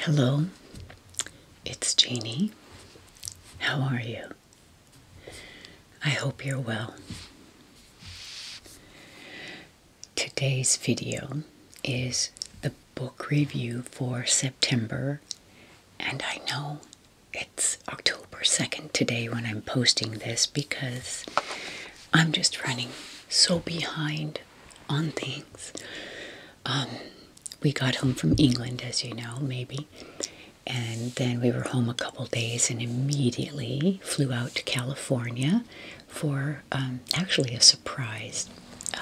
Hello, it's Jeannie. How are you? I hope you're well. Today's video is the book review for September and I know it's October 2nd today when I'm posting this because I'm just running so behind on things. Um, we got home from England, as you know, maybe. And then we were home a couple days and immediately flew out to California for um, actually a surprise uh,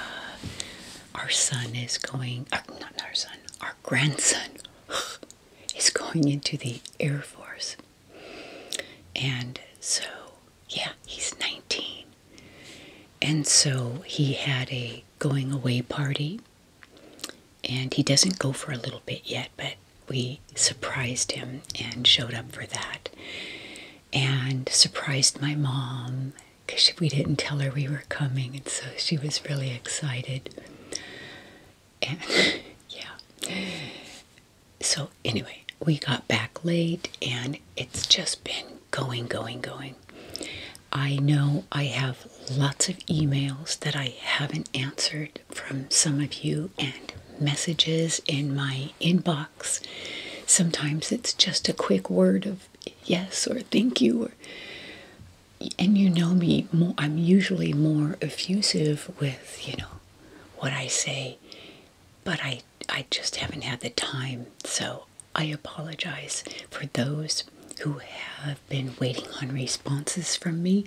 our son is going, uh, not our son, our grandson is going into the Air Force. And so, yeah, he's 19. And so he had a going away party. And he doesn't go for a little bit yet, but we surprised him and showed up for that. And surprised my mom because we didn't tell her we were coming, and so she was really excited. And yeah. So, anyway, we got back late, and it's just been going, going, going. I know I have lots of emails that I haven't answered from some of you, and messages in my inbox. Sometimes it's just a quick word of yes or thank you or and you know me more i'm usually more effusive with you know what i say but i i just haven't had the time so i apologize for those who have been waiting on responses from me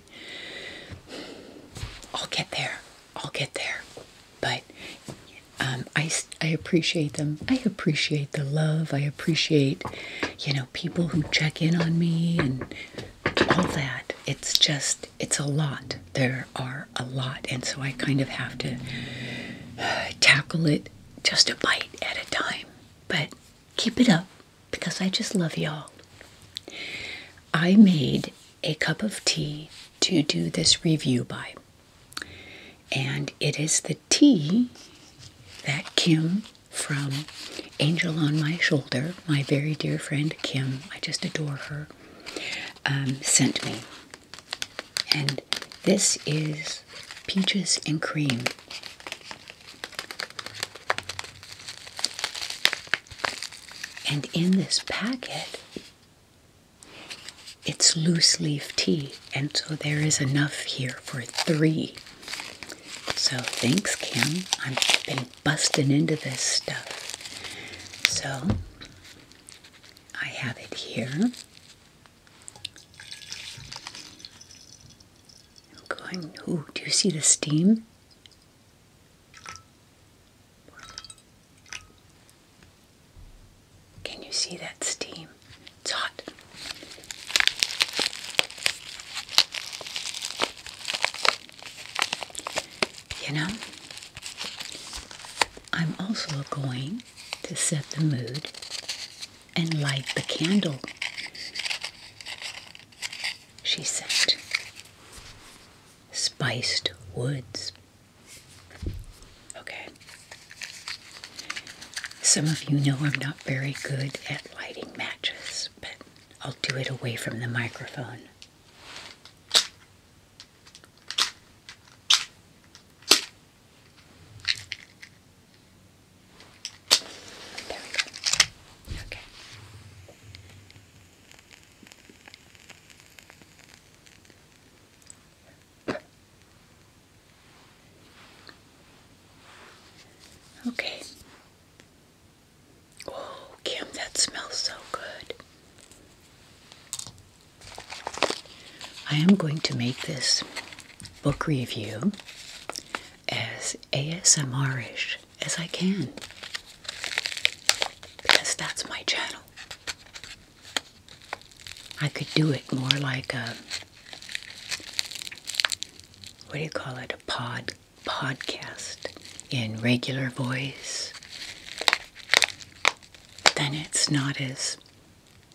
i'll get there i'll get there but um, I, I appreciate them. I appreciate the love. I appreciate, you know, people who check in on me and all that. It's just, it's a lot. There are a lot. And so I kind of have to tackle it just a bite at a time. But keep it up because I just love y'all. I made a cup of tea to do this review by. And it is the the tea that Kim from Angel on My Shoulder, my very dear friend Kim, I just adore her, um, sent me. And this is peaches and cream. And in this packet it's loose leaf tea, and so there is enough here for three. So thanks, Kim. I've been busting into this stuff. So I have it here. going, ooh, do you see the steam? Can you see that steam? It's hot. You know, I'm also going to set the mood and light the candle, she said. Spiced woods. Okay. Some of you know I'm not very good at lighting matches, but I'll do it away from the microphone. There we go. Okay. Okay. Oh, Kim, that smells so good. I am going to make this book review as ASMR-ish as I can because that's my channel. I could do it more like a what do you call it? A pod podcast in regular voice. Then it's not as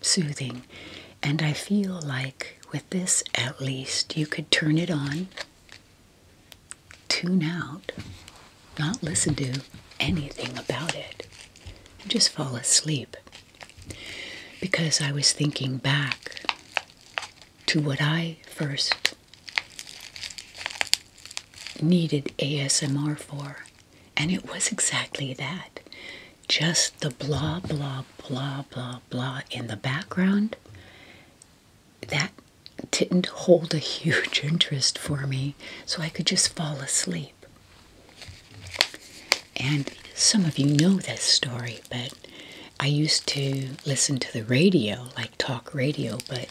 soothing. And I feel like with this at least you could turn it on, tune out, not listen to anything about it, and just fall asleep because I was thinking back to what I first needed ASMR for, and it was exactly that just the blah, blah, blah, blah, blah in the background. That didn't hold a huge interest for me, so I could just fall asleep. And some of you know this story, but I used to listen to the radio, like talk radio, but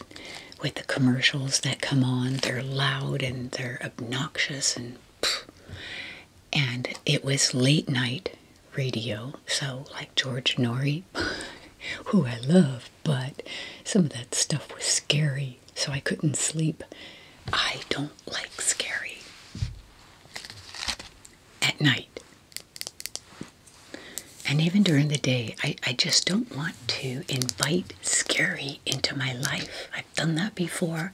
with the commercials that come on, they're loud and they're obnoxious and and it was late night radio, so like George Nori, who I love, but some of that stuff was scary, so I couldn't sleep. I don't like scary at night. And even during the day, I, I just don't want to invite scary into my life. I've done that before,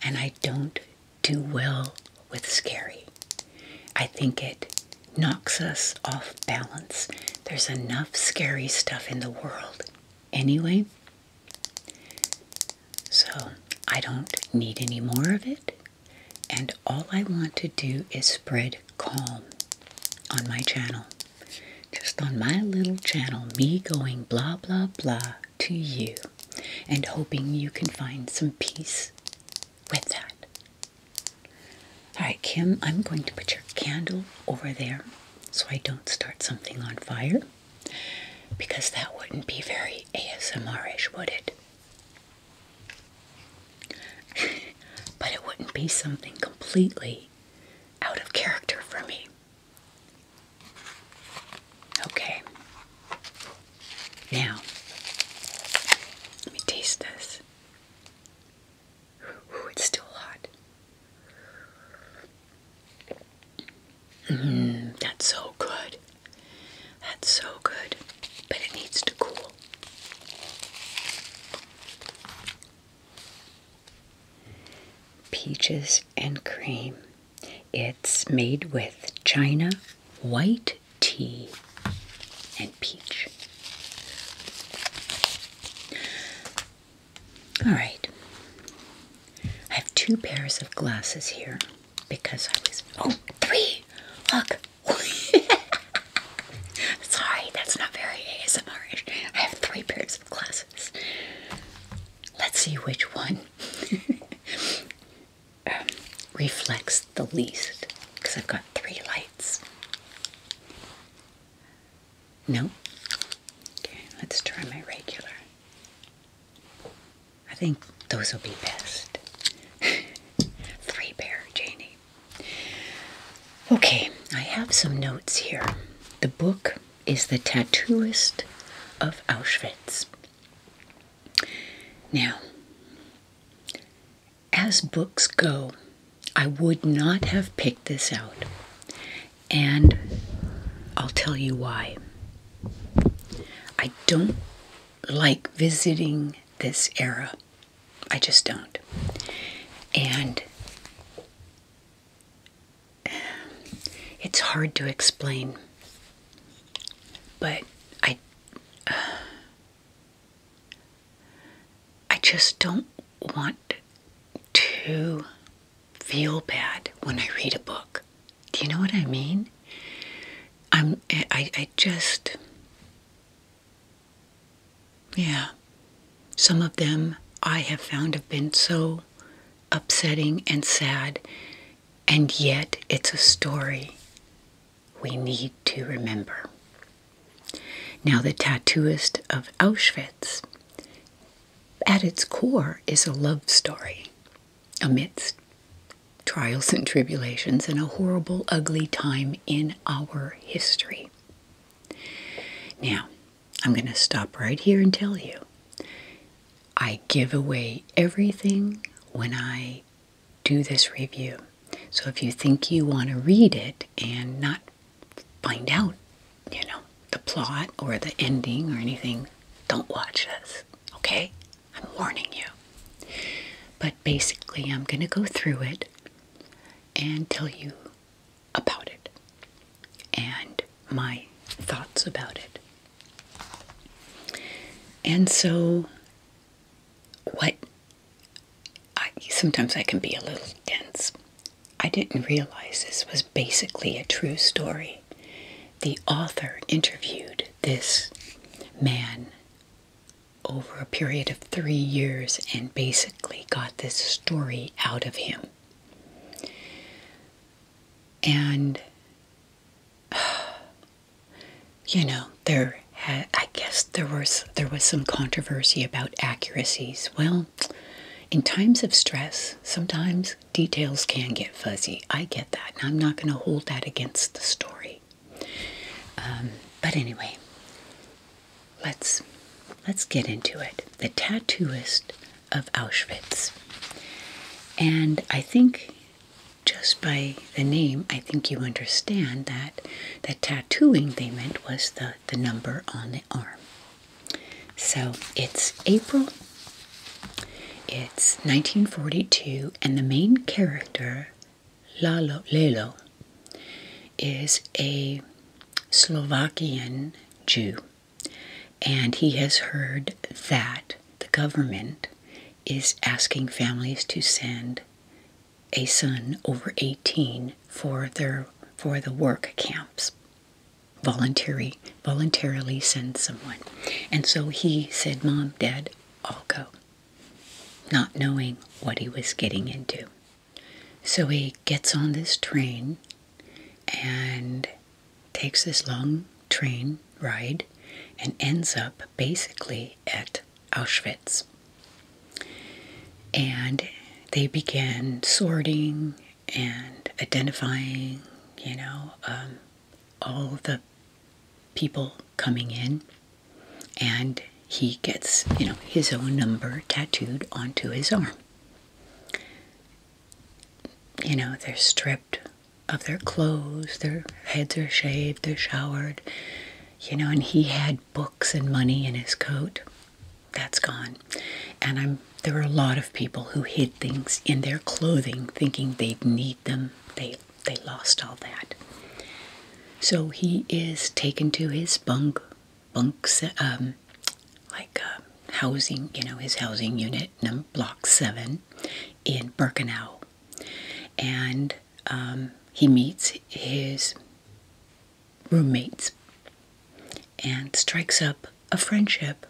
and I don't do well with scary. I think it knocks us off balance. There's enough scary stuff in the world anyway so I don't need any more of it. And all I want to do is spread calm on my channel. Just on my little channel, me going blah, blah, blah to you and hoping you can find some peace with that. All right, Kim, I'm going to put your candle over there so I don't start something on fire. Because that wouldn't be very ASMR-ish, would it? but it wouldn't be something completely out of character for me. Okay. Now, let me taste this. Ooh, it's still hot. Mm, that's so good. That's so good. But it needs to cool. Peaches and cream. It's made with china, white tea, and peach. All right. I have two pairs of glasses here because I was. Oh, three! Look! Sorry, that's not very asmr I have three pairs of glasses. Let's see which one um, reflects the least because I've got three lights. No? Okay, let's try my regular. I think those will be best. Three pair, Janie. Okay, I have some notes here. The book is The Tattooist of Auschwitz. Now, as books go, I would not have picked this out and I'll tell you why. I don't like visiting this era. I just don't. And it's hard to explain. But I I just don't want to feel bad when I read a book. Do you know what I mean? I'm I, I just yeah. Some of them I have found have been so upsetting and sad, and yet it's a story we need to remember. Now, the tattooist of Auschwitz, at its core, is a love story amidst trials and tribulations and a horrible, ugly time in our history. Now, I'm going to stop right here and tell you I give away everything when I do this review. So if you think you want to read it and not find out you know, the plot or the ending or anything, don't watch this, okay? I'm warning you. But basically, I'm going to go through it and tell you about it and my thoughts about it. And so, what I sometimes I can be a little dense. I didn't realize this was basically a true story the author interviewed this man over a period of three years and basically got this story out of him. And, you know, there I guess there was, there was some controversy about accuracies. Well, in times of stress, sometimes details can get fuzzy. I get that, and I'm not going to hold that against the story. Um, but anyway, let's let's get into it. The tattooist of Auschwitz, and I think just by the name, I think you understand that the tattooing they meant was the the number on the arm. So it's April, it's 1942, and the main character, Lalo, Lelo, is a Slovakian Jew, and he has heard that the government is asking families to send a son over 18 for their for the work camps Voluntarily, voluntarily send someone. And so he said, Mom, Dad, I'll go. Not knowing what he was getting into. So he gets on this train and takes this long train ride and ends up basically at Auschwitz. And they begin sorting and identifying, you know, um, all the people coming in, and he gets, you know, his own number tattooed onto his arm. You know, they're stripped of their clothes, their heads are shaved, they're showered, you know, and he had books and money in his coat. That's gone. And I'm there were a lot of people who hid things in their clothing thinking they'd need them. They, they lost all that. So he is taken to his bunk, bunk um, like uh, housing, you know, his housing unit, block seven, in Birkenau, and um, he meets his roommates and strikes up a friendship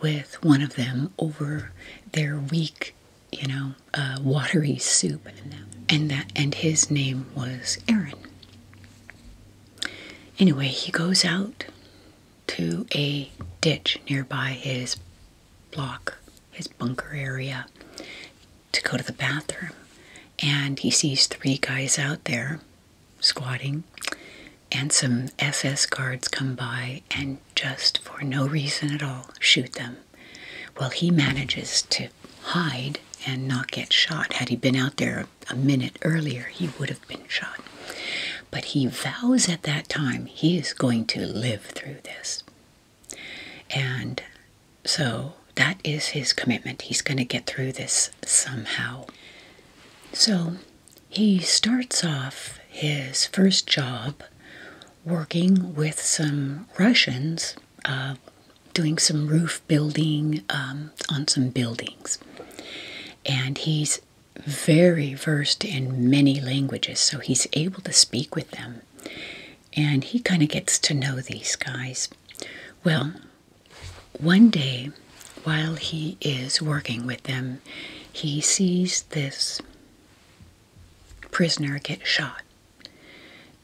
with one of them over their weak, you know, uh, watery soup, and that and his name was Aaron. Anyway, he goes out to a ditch nearby his block, his bunker area, to go to the bathroom, and he sees three guys out there squatting, and some SS guards come by and just for no reason at all shoot them. Well, he manages to hide and not get shot. Had he been out there a minute earlier, he would have been shot. But he vows at that time he is going to live through this. And so that is his commitment. He's going to get through this somehow. So he starts off his first job working with some Russians, uh, doing some roof building um, on some buildings. And he's very versed in many languages, so he's able to speak with them. And he kind of gets to know these guys. Well, one day while he is working with them, he sees this prisoner get shot.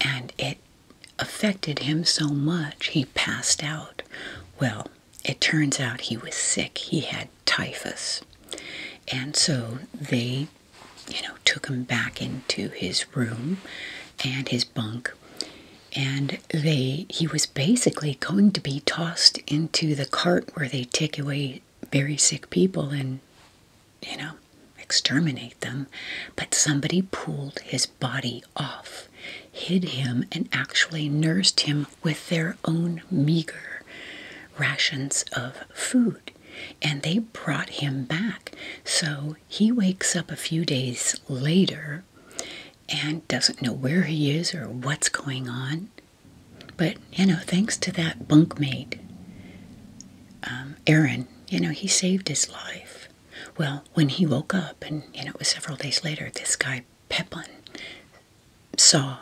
And it affected him so much, he passed out. Well, it turns out he was sick. He had typhus. And so they, you know, took him back into his room and his bunk and they he was basically going to be tossed into the cart where they take away very sick people and you know exterminate them but somebody pulled his body off hid him and actually nursed him with their own meager rations of food and they brought him back so he wakes up a few days later and doesn't know where he is or what's going on but, you know, thanks to that bunkmate, um, Aaron, you know, he saved his life. Well, when he woke up, and, you know, it was several days later, this guy, Pepin, saw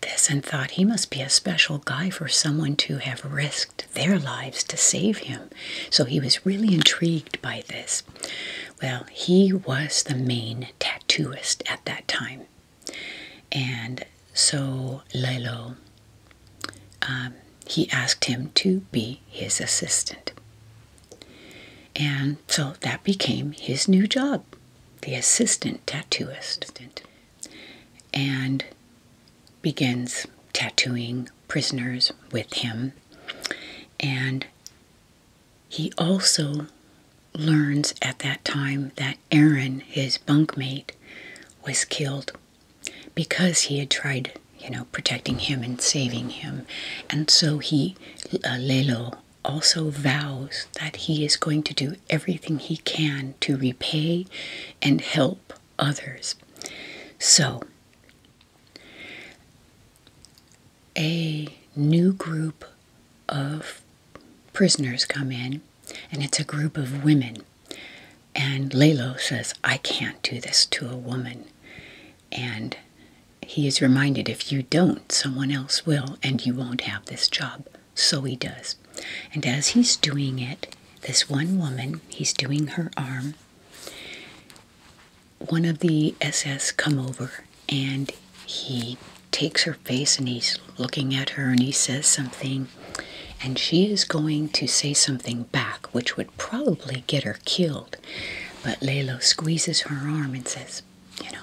this and thought he must be a special guy for someone to have risked their lives to save him. So he was really intrigued by this. Well, he was the main tattooist at that time. And so Lelo, um, he asked him to be his assistant. And so that became his new job, the assistant tattooist. And begins tattooing prisoners with him. And he also learns at that time that Aaron, his bunkmate, was killed because he had tried, you know, protecting him and saving him. And so he, uh, also vows that he is going to do everything he can to repay and help others. So, a new group of prisoners come in, and it's a group of women. And Lalo says, I can't do this to a woman. And he is reminded, if you don't, someone else will, and you won't have this job. So he does. And as he's doing it, this one woman, he's doing her arm, one of the SS come over and he takes her face and he's looking at her and he says something and she is going to say something back which would probably get her killed but Lalo squeezes her arm and says you know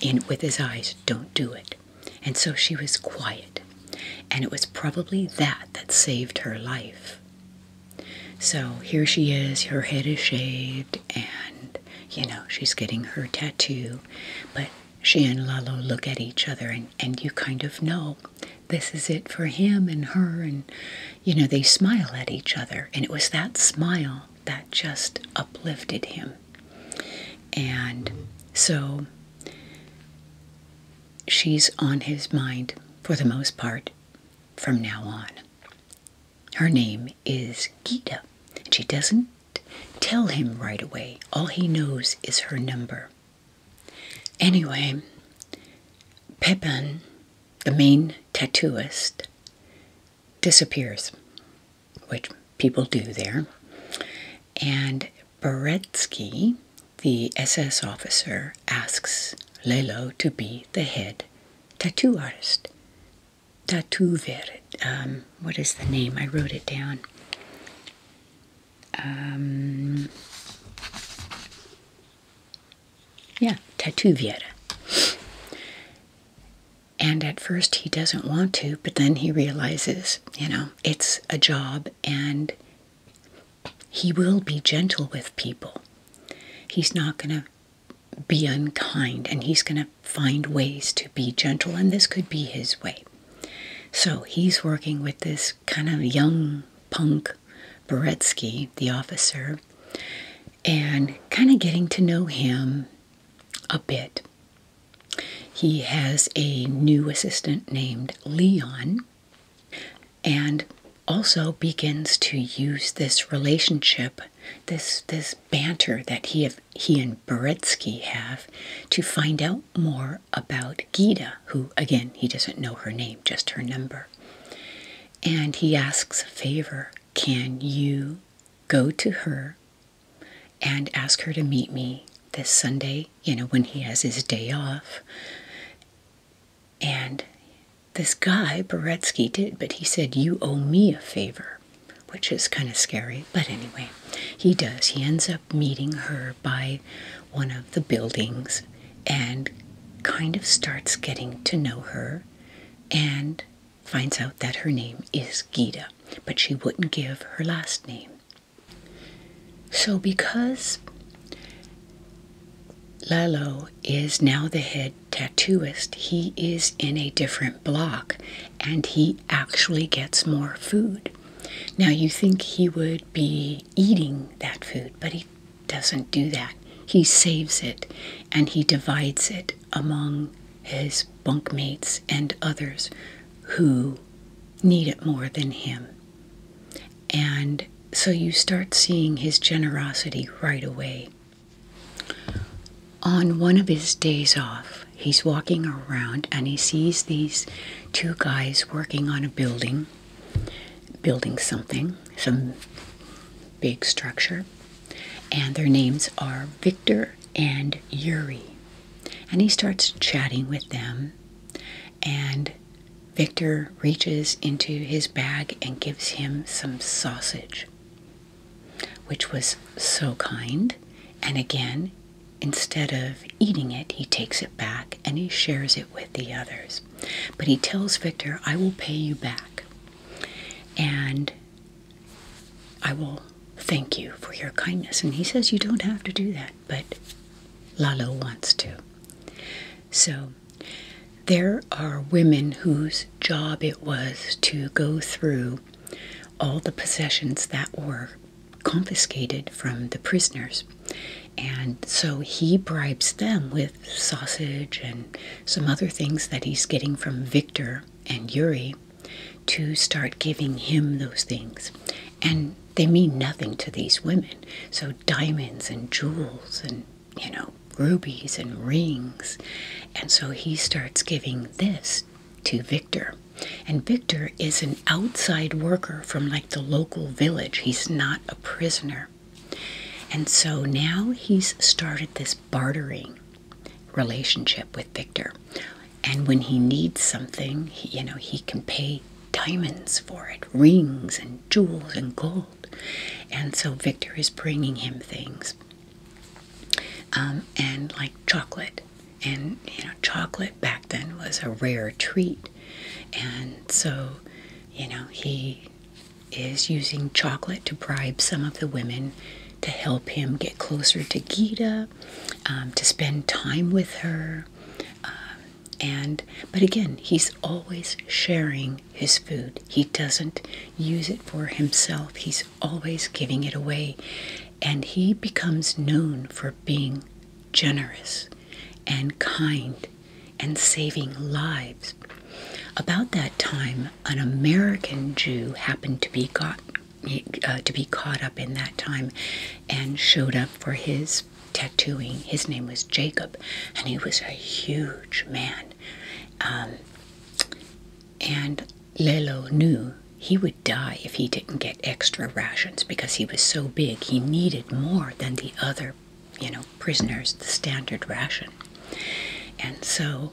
in with his eyes don't do it and so she was quiet and it was probably that that saved her life so here she is her head is shaved and you know, she's getting her tattoo. But she and Lalo look at each other, and, and you kind of know this is it for him and her. And, you know, they smile at each other. And it was that smile that just uplifted him. And so she's on his mind for the most part from now on. Her name is Gita, and she doesn't tell him right away. All he knows is her number. Anyway, Pepin, the main tattooist, disappears, which people do there, and Beretsky, the SS officer, asks Lelo to be the head tattoo artist. Tatuver. Um, what is the name? I wrote it down. Um, yeah, Tatuviera. And at first he doesn't want to, but then he realizes, you know, it's a job and he will be gentle with people. He's not going to be unkind and he's going to find ways to be gentle, and this could be his way. So he's working with this kind of young punk Beretsky, the officer, and kind of getting to know him a bit. He has a new assistant named Leon and also begins to use this relationship, this, this banter that he, he and Beretsky have to find out more about Gita, who, again, he doesn't know her name, just her number. And he asks a favor can you go to her and ask her to meet me this Sunday, you know, when he has his day off? And this guy, Beretsky, did, but he said, You owe me a favor, which is kind of scary. But anyway, he does. He ends up meeting her by one of the buildings and kind of starts getting to know her and finds out that her name is Gita, but she wouldn't give her last name. So, because Lalo is now the head tattooist, he is in a different block and he actually gets more food. Now, you think he would be eating that food, but he doesn't do that. He saves it and he divides it among his bunkmates and others who need it more than him. And so you start seeing his generosity right away. On one of his days off, he's walking around and he sees these two guys working on a building, building something, some big structure, and their names are Victor and Yuri. And he starts chatting with them, and Victor reaches into his bag and gives him some sausage which was so kind. And again, instead of eating it, he takes it back and he shares it with the others. But he tells Victor, I will pay you back. And I will thank you for your kindness. And he says, You don't have to do that, but Lalo wants to. So there are women whose job it was to go through all the possessions that were confiscated from the prisoners. And so he bribes them with sausage and some other things that he's getting from Victor and Yuri to start giving him those things. And they mean nothing to these women. So diamonds and jewels and you know, rubies and rings. And so he starts giving this to Victor. And Victor is an outside worker from like the local village. He's not a prisoner. And so now he's started this bartering relationship with Victor. And when he needs something, you know, he can pay diamonds for it, rings and jewels and gold. And so Victor is bringing him things um, and like chocolate. And you know, chocolate back then was a rare treat, and so you know, he is using chocolate to bribe some of the women to help him get closer to Gita, um, to spend time with her. Um, and but again, he's always sharing his food, he doesn't use it for himself. He's always giving it away. And he becomes known for being generous and kind and saving lives. About that time, an American Jew happened to be got uh, to be caught up in that time and showed up for his tattooing. His name was Jacob, and he was a huge man. Um, and Lelo knew he would die if he didn't get extra rations because he was so big. He needed more than the other, you know, prisoners, the standard ration. And so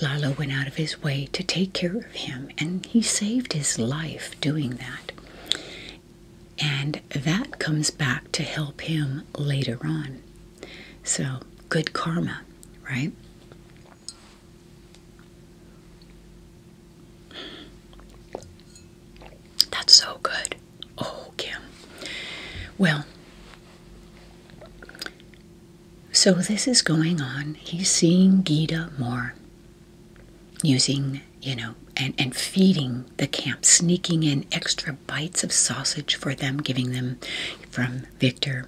Lalo went out of his way to take care of him, and he saved his life doing that. And that comes back to help him later on so, good karma, right? That's so good. Oh, Kim. Well, so this is going on. He's seeing Gita more using, you know, and, and feeding the camp, sneaking in extra bites of sausage for them, giving them from Victor.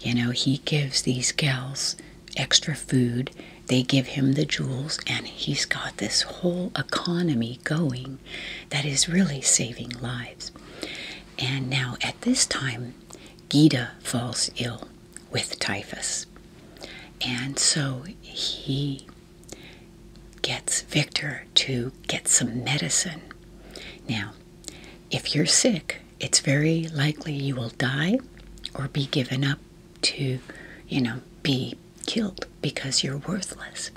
You know, he gives these gals extra food, they give him the jewels, and he's got this whole economy going that is really saving lives. And now at this time, Gita falls ill with typhus. And so he gets Victor to get some medicine. Now, if you're sick, it's very likely you will die or be given up to, you know, be killed because you're worthless.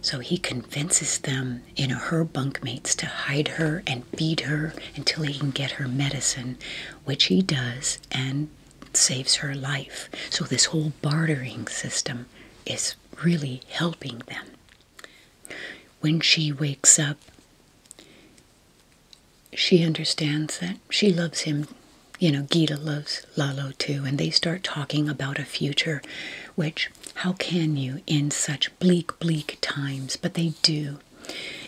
So he convinces them, you know, her bunkmates to hide her and feed her until he can get her medicine, which he does and saves her life. So this whole bartering system is really helping them. When she wakes up, she understands that she loves him. You know, Gita loves Lalo too, and they start talking about a future, which, how can you in such bleak, bleak times? But they do.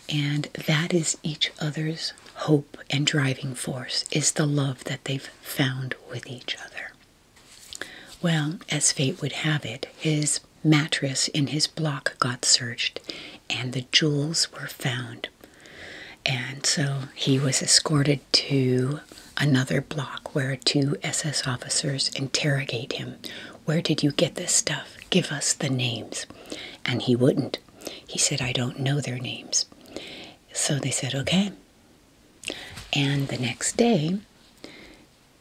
And that is each other's hope and driving force, is the love that they've found with each other. Well, as fate would have it, his mattress in his block got searched and the jewels were found. And so he was escorted to another block where two SS officers interrogate him. Where did you get this stuff? Give us the names. And he wouldn't. He said, I don't know their names. So they said, okay. And the next day,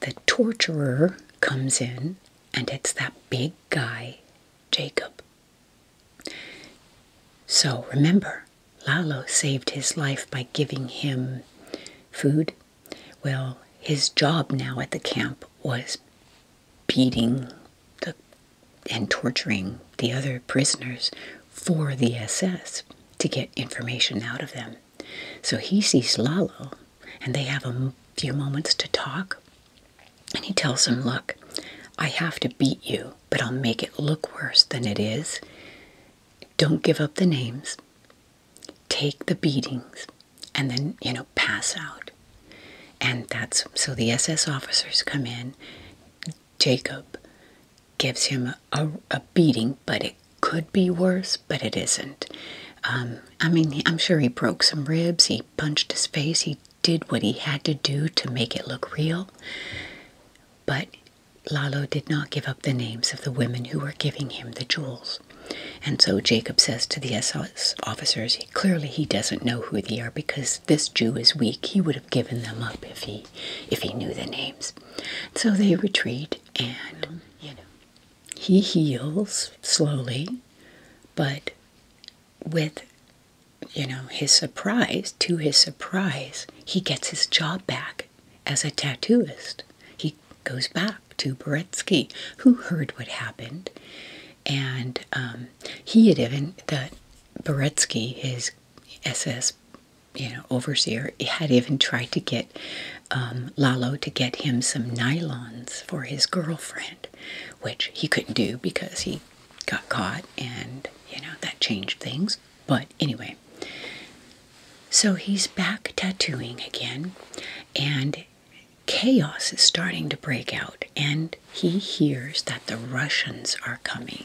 the torturer comes in, and it's that big guy, Jacob. So remember, Lalo saved his life by giving him food. Well, his job now at the camp was beating and torturing the other prisoners for the SS to get information out of them. So he sees Lalo and they have a few moments to talk. And he tells him, Look, I have to beat you, but I'll make it look worse than it is. Don't give up the names, take the beatings, and then, you know, pass out. And that's so the SS officers come in. Jacob gives him a, beating, but it could be worse, but it isn't. Um, I mean, I'm sure he broke some ribs, he punched his face, he did what he had to do to make it look real. But Lalo did not give up the names of the women who were giving him the jewels. And so Jacob says to the SOS officers, clearly he doesn't know who they are because this Jew is weak. He would have given them up if he if he knew the names. So they retreat and you know he heals slowly, but with you know his surprise to his surprise he gets his job back as a tattooist he goes back to Beretsky who heard what happened and um, he had even that Beretsky his SS you know overseer had even tried to get um, Lalo to get him some nylons for his girlfriend, which he couldn't do because he got caught and, you know, that changed things. But anyway, so he's back tattooing again, and chaos is starting to break out, and he hears that the Russians are coming.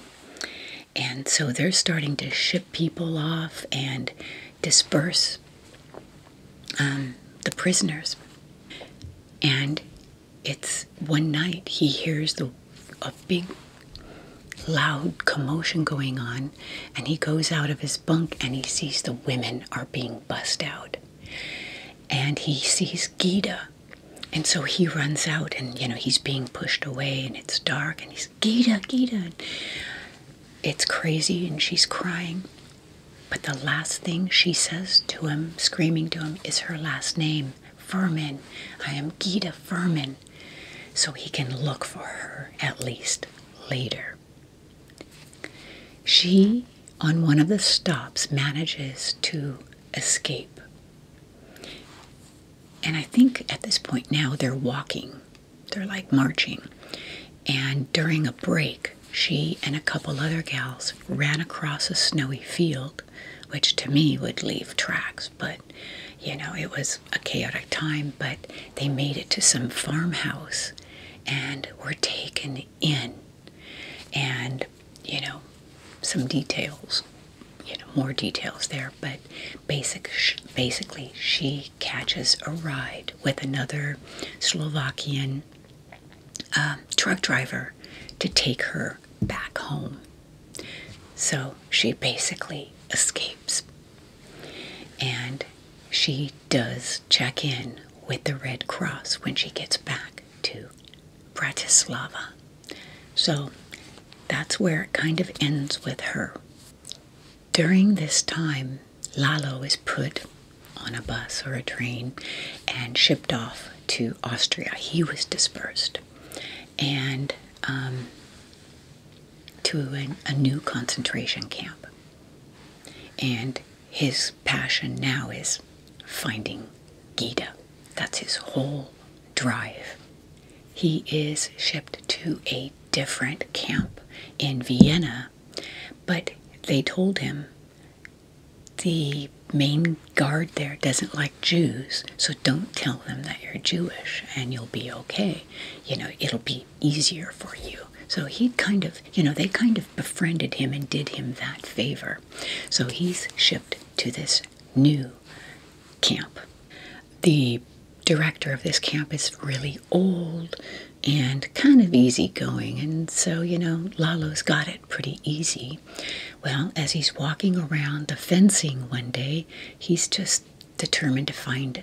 And so they're starting to ship people off, and disperse um, the prisoners. And it's one night he hears a big, loud commotion going on, and he goes out of his bunk and he sees the women are being bussed out. And he sees Gita. And so he runs out and, you know, he's being pushed away and it's dark and he's, Gita, Gita. It's crazy and she's crying. But the last thing she says to him, screaming to him, is her last name, Furman. I am Gita Furman. So he can look for her at least later. She, on one of the stops, manages to escape. And I think at this point now they're walking they're like marching. And during a break, she and a couple other gals ran across a snowy field, which to me would leave tracks, but you know, it was a chaotic time. But they made it to some farmhouse and were taken in. And you know, some details, you know, more details there, but basic, basically, she catches a ride with another Slovakian um, truck driver to take her back home. So she basically escapes. And she does check in with the Red Cross when she gets back to Bratislava. So that's where it kind of ends with her. During this time, Lalo is put on a bus or a train and shipped off to Austria. He was dispersed and um, to a new concentration camp. And his passion now is finding Gita. That's his whole drive. He is shipped to a different camp in Vienna. But they told him the main guard there doesn't like Jews, so don't tell them that you're Jewish and you'll be okay. You know, it'll be easier for you. So he kind of, you know, they kind of befriended him and did him that favor. So he's shipped to this new camp. The director of this camp is really old and kind of easygoing. And so, you know, Lalo's got it pretty easy. Well, as he's walking around the fencing one day, he's just determined to find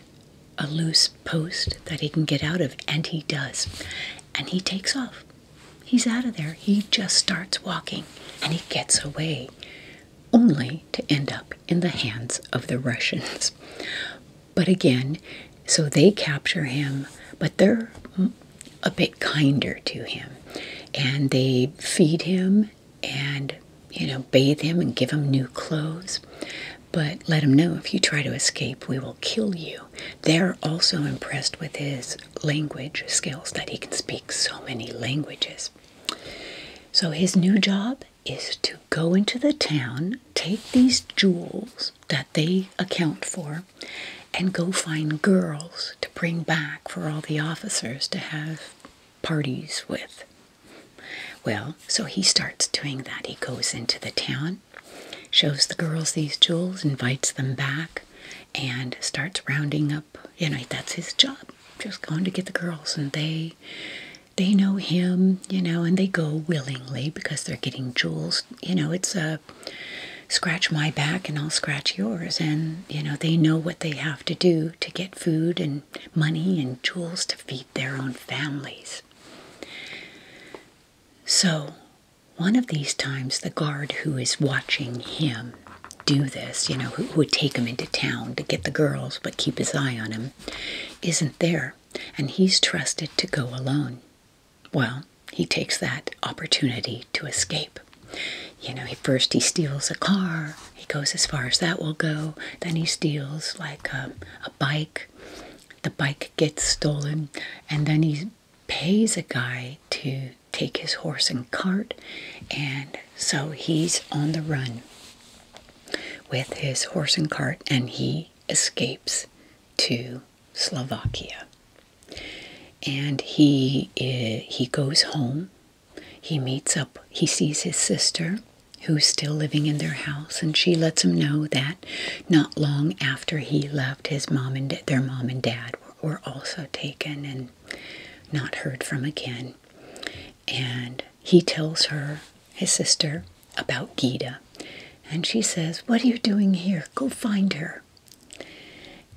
a loose post that he can get out of, and he does. And he takes off. He's out of there. He just starts walking and he gets away, only to end up in the hands of the Russians. But again, so they capture him, but they're a bit kinder to him. And they feed him and, you know, bathe him and give him new clothes. But let him know if you try to escape, we will kill you. They're also impressed with his language skills that he can speak so many languages. So his new job is to go into the town, take these jewels that they account for, and go find girls to bring back for all the officers to have parties with. Well, so he starts doing that. He goes into the town, shows the girls these jewels, invites them back, and starts rounding up. You know, that's his job, just going to get the girls, and they they know him, you know, and they go willingly because they're getting jewels. You know, it's a scratch my back and I'll scratch yours. And, you know, they know what they have to do to get food and money and jewels to feed their own families. So, one of these times, the guard who is watching him do this, you know, who, would take him into town to get the girls but keep his eye on him, isn't there and he's trusted to go alone. Well, he takes that opportunity to escape. You know, first he steals a car. He goes as far as that will go. Then he steals like um, a bike. The bike gets stolen, and then he pays a guy to take his horse and cart, and so he's on the run with his horse and cart, and he escapes to Slovakia. And he eh, he goes home. He meets up. He sees his sister, who's still living in their house, and she lets him know that not long after he left, his mom and their mom and dad were, also taken and not heard from again and he tells her, his sister, about Gita. And she says, What are you doing here? Go find her.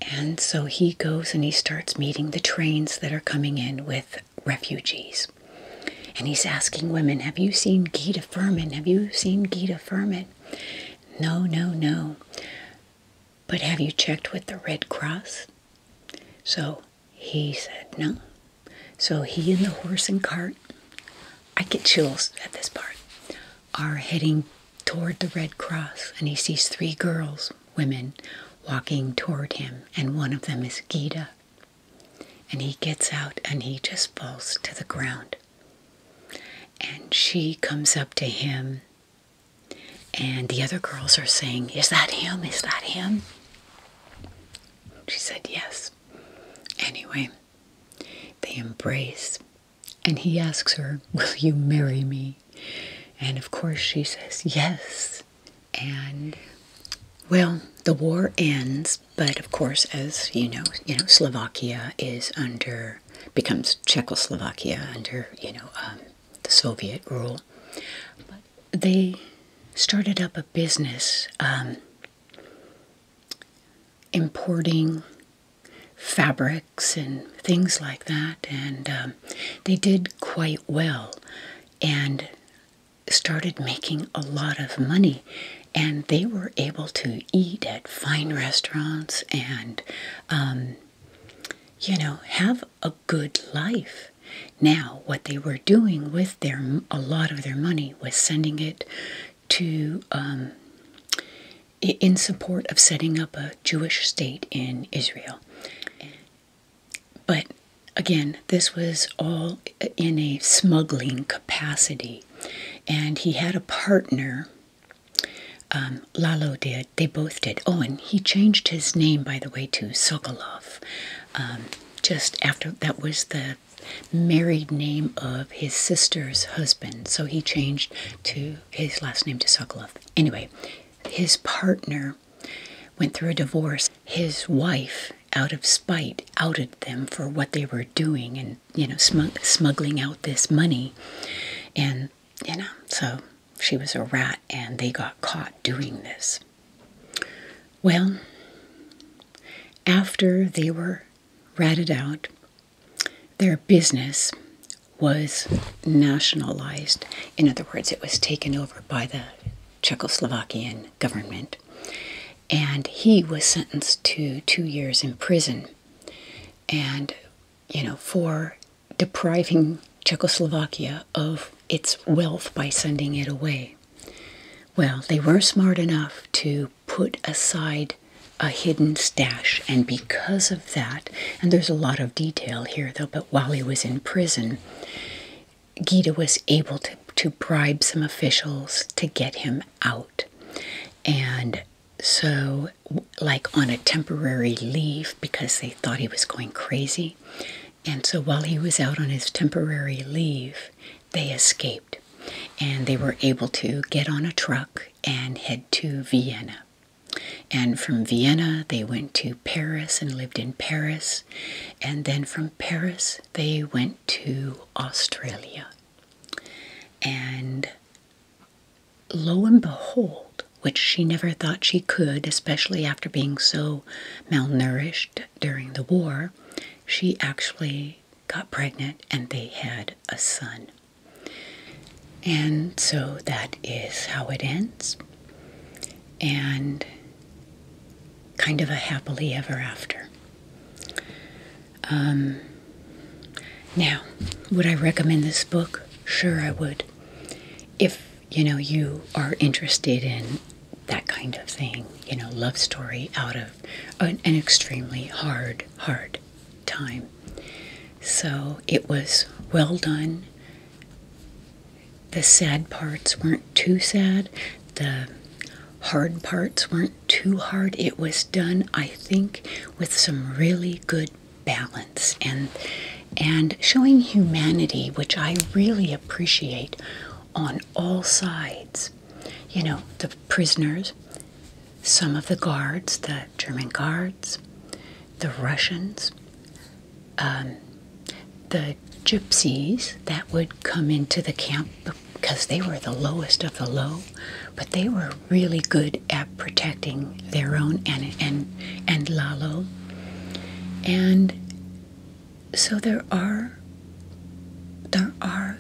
And so he goes and he starts meeting the trains that are coming in with refugees. And he's asking women, Have you seen Gita Furman? Have you seen Gita Furman? No, no, no. But have you checked with the Red Cross? So he said no. So he and the horse and cart, I get chills at this part, are heading toward the Red Cross, and he sees three girls, women, walking toward him, and one of them is Gita. And he gets out and he just falls to the ground. And she comes up to him, and the other girls are saying, Is that him? Is that him? She said, Yes. Anyway, they embrace, and he asks her, Will you marry me? And of course, she says, Yes. And well, the war ends, but of course, as you know, you know Slovakia is under becomes Czechoslovakia under you know um, the Soviet rule they started up a business um, importing fabrics and things like that, and um, they did quite well and started making a lot of money. And they were able to eat at fine restaurants and, um, you know, have a good life. Now, what they were doing with their a lot of their money was sending it to um, in support of setting up a Jewish state in Israel. But again, this was all in a smuggling capacity, and he had a partner. Um, Lalo did. They both did. Oh, and he changed his name, by the way, to Sokolov. Um, just after that was the married name of his sister's husband, so he changed to his last name to Sokolov. Anyway, his partner went through a divorce. His wife, out of spite, outed them for what they were doing and you know smuggling out this money, and you know so she was a rat, and they got caught doing this. Well, after they were ratted out, their business was nationalized. In other words, it was taken over by the Czechoslovakian government. And he was sentenced to two years in prison. And, you know, for depriving Czechoslovakia of its wealth by sending it away. Well, they were smart enough to put aside a hidden stash, and because of that, and there's a lot of detail here though, but while he was in prison, Gita was able to, to bribe some officials to get him out. And so, like on a temporary leave because they thought he was going crazy, and so while he was out on his temporary leave, they escaped and they were able to get on a truck and head to Vienna. And from Vienna, they went to Paris and lived in Paris. And then from Paris, they went to Australia. And lo and behold, which she never thought she could, especially after being so malnourished during the war, she actually got pregnant and they had a son. And so that is how it ends. And kind of a happily ever after. Um, now, would I recommend this book? Sure, I would. If you know you are interested in that kind of thing, you know, love story out of an, extremely hard, hard time. So it was well done. The sad parts weren't too sad. The hard parts weren't too hard. It was done, I think, with some really good balance and and showing humanity, which I really appreciate on all sides. You know, the prisoners, some of the guards, the German guards, the Russians, um, the gypsies that would come into the camp because they were the lowest of the low, but they were really good at protecting their own and and and Lalo. And so there are there are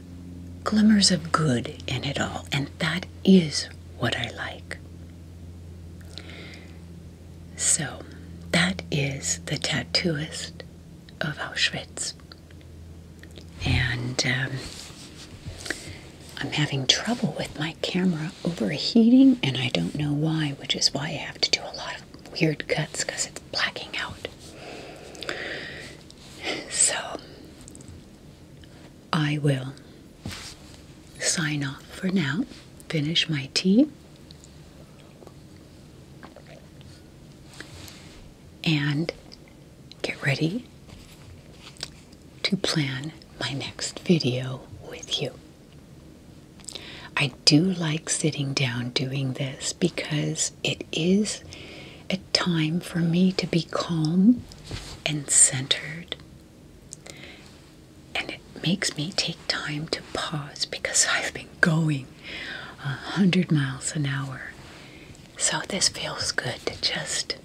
glimmers of good in it all, and that is what I like. So that is the tattooist of Auschwitz. And um, I'm having trouble with my camera overheating, and I don't know why, which is why I have to do a lot of weird cuts because it's blacking out. So I will sign off for now, finish my tea, and get ready to plan my next video with you. I do like sitting down doing this because it is a time for me to be calm and centered. And it makes me take time to pause because I've been going a hundred miles an hour. So this feels good to just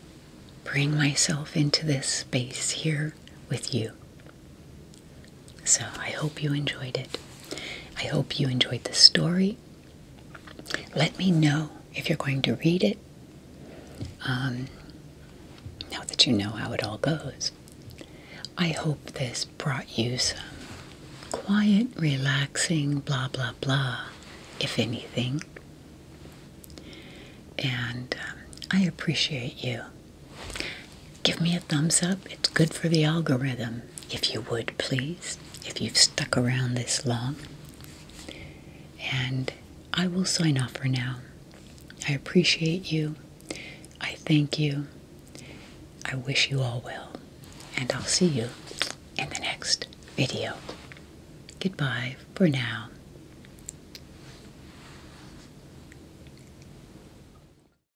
bring myself into this space here with you. So I hope you enjoyed it. I hope you enjoyed the story. Let me know if you're going to read it. Um, now that you know how it all goes, I hope this brought you some quiet, relaxing, blah, blah, blah, if anything. And um, I appreciate you Give me a thumbs up. It's good for the algorithm. If you would, please, if you've stuck around this long. And I will sign off for now. I appreciate you. I thank you. I wish you all well. And I'll see you in the next video. Goodbye for now.